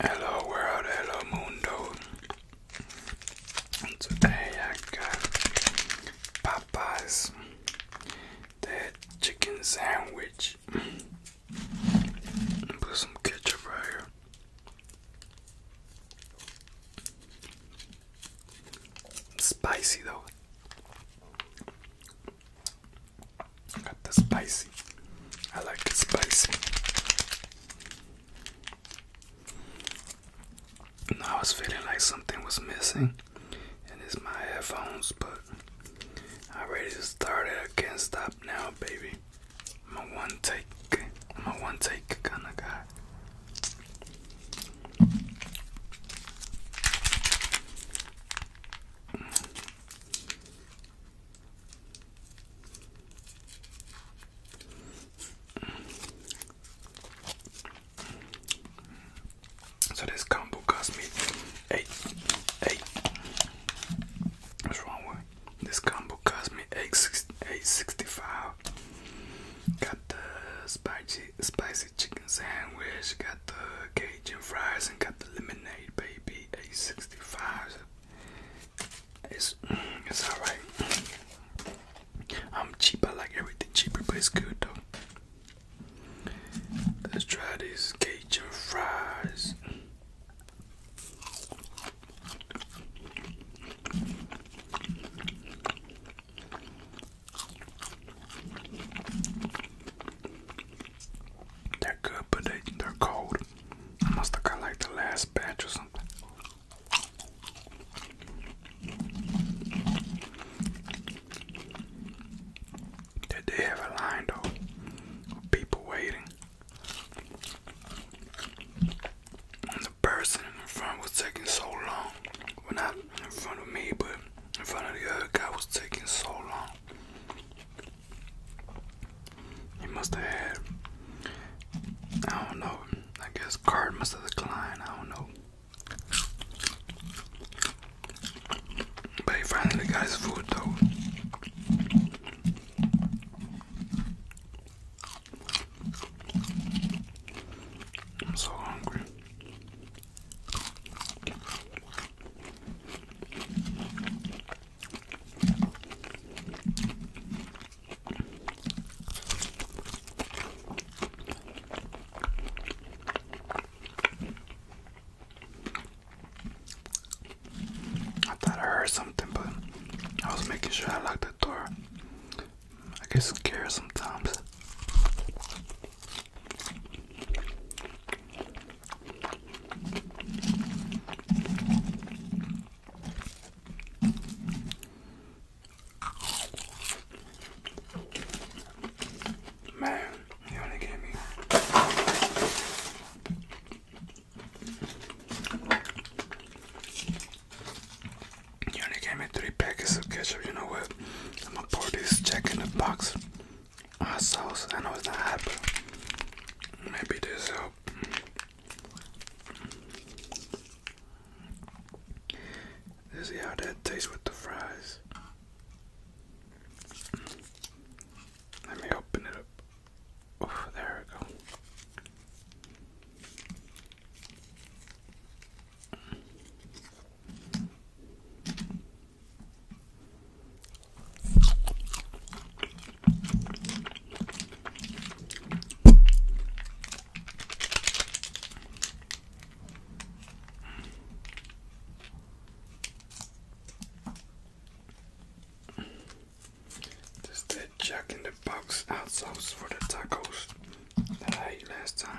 Hello world, hello mundo. Today I got Popeyes, that chicken sandwich. and Put some ketchup right here. Spicy though. I got the spicy. I like it spicy. I was feeling like something was missing, and it's my headphones, but I already started. I can't stop now, baby. I'm a one take, I'm a one take kind of guy. So this combo cost me eight, eight. What's wrong with this combo? Cost me eight six eight sixty five. Got the spicy spicy chicken sandwich. Got the Cajun fries and got the lemonade, baby. Eight sixty five. It's it's alright. I'm cheap, I like everything cheaper, but it's good though. Let's try these Cajun fries. They're good, but they, they're cold. I must have got like the last batch or something. They have a line though, people waiting. And the person in front was taking so long. Well, not in front of me, but in front of the other guy was taking so long. He must have had, I don't know, I guess card must have declined, I don't know. But he finally got his food though. I'm so hungry. I thought I heard something, but I was making sure I locked the door. I get scared sometimes. Man, you only gave me. You only gave me three packets of ketchup. You know what? I'm gonna pour this check in the box uh, sauce. I know it's not maybe this help. Let's see how that tastes with the fries. Let me open it up. Oh, there we go. Just that Jack in the Box hot for the tacos that I ate last time.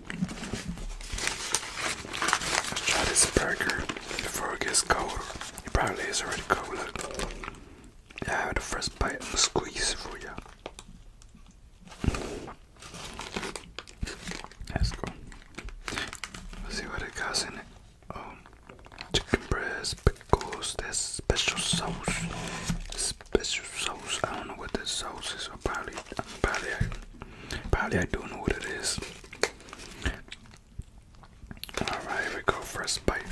Let's try this burger before it gets cold. It probably is already cold. Look. I have the first bite and squeeze for you. Let's go. Let's see what it has in it. Oh, chicken breast, pickles, there's special sauce. Special sauce. I don't know what this sauce is. Or probably, probably, probably I don't know what it is. All right, here we go. for a bite.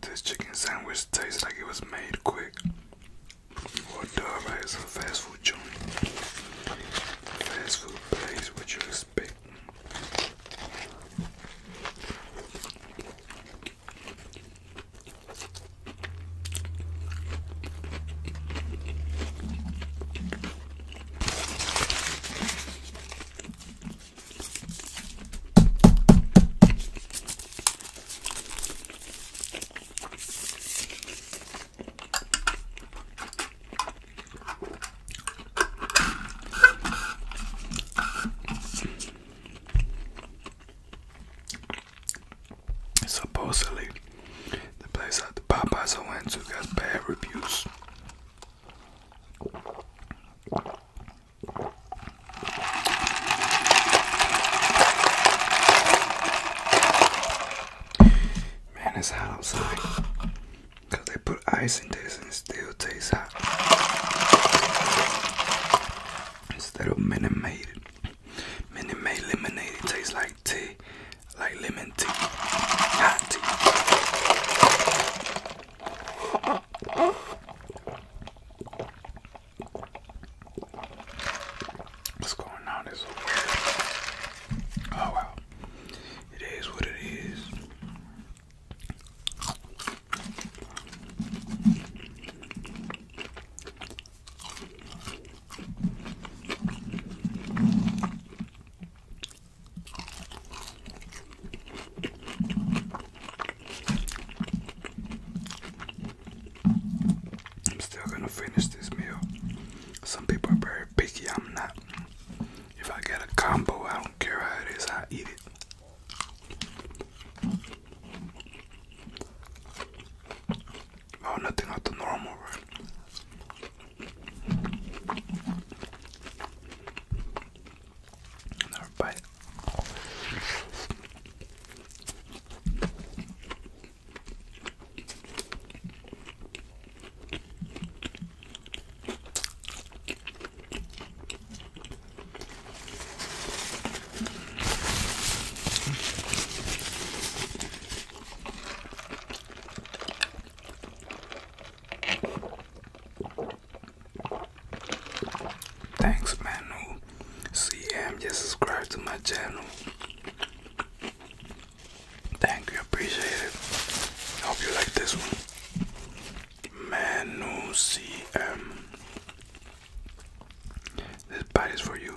This chicken sandwich tastes like it was made quick. What the right? It's a fast food joint. Fast food place, what you expect? Supposedly, the place that the Popeyes I went to got bad reviews. Man, it's hot outside. Cause they put ice in this and it still tastes hot. Instead of Minute Maid, Minute Maid lemonade, tastes like tea, like lemon tea, hot tea. What's going on? Oh wow. It is what it is. I'm still gonna finish this meal. Some people are very picky, I'm not. If I get a combo, I don't care how it is, I eat it. Oh, nothing out the normal, right? Another bite. Thanks, Manu Who CM just subscribe to my channel. Thank you, appreciate it. I Hope you like this one. Manu CM. This bite is for you.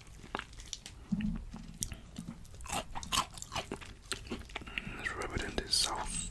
Let's rub it in this sauce.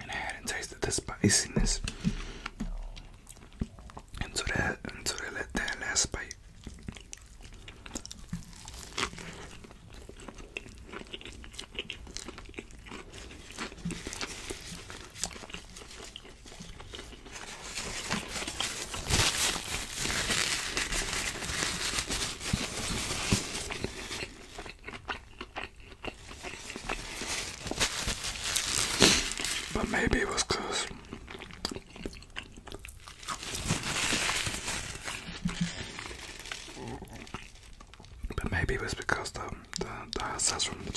and I hadn't tasted the spiciness until that until that, that last bite. But maybe it was because but maybe it was because the the, the access from the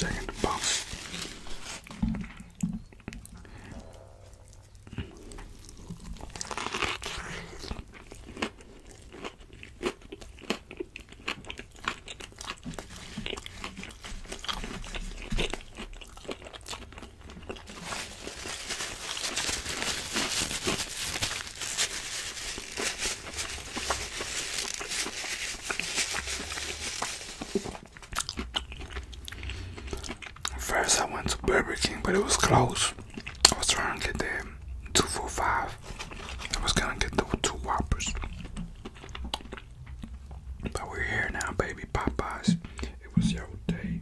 First, I went to Burger King, but it was closed. I was trying to get the five. I was gonna get the two whoppers. But we're here now, baby Popeyes. It was your day.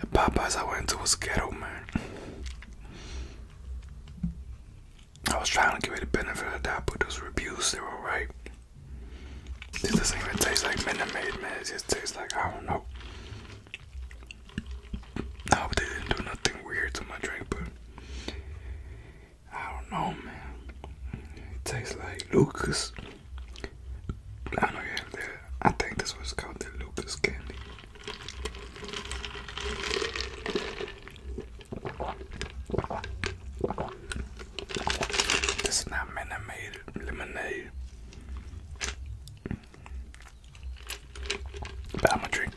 The Popeyes I went to was ghetto, man. I was trying to give it the benefit of that, but those reviews, they were right. This doesn't even taste like Minute Maid, man. It just tastes like, I don't know. I hope they didn't do nothing weird to my drink, but I don't know, man. It tastes like Lucas. I think this was called the Lucas candy. This is not lemonade. But i drink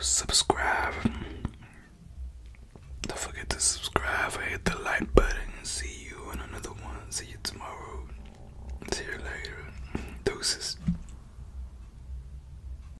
subscribe. Don't forget to subscribe. Hit the like button. See you in another one. See you tomorrow. See you later. Doses.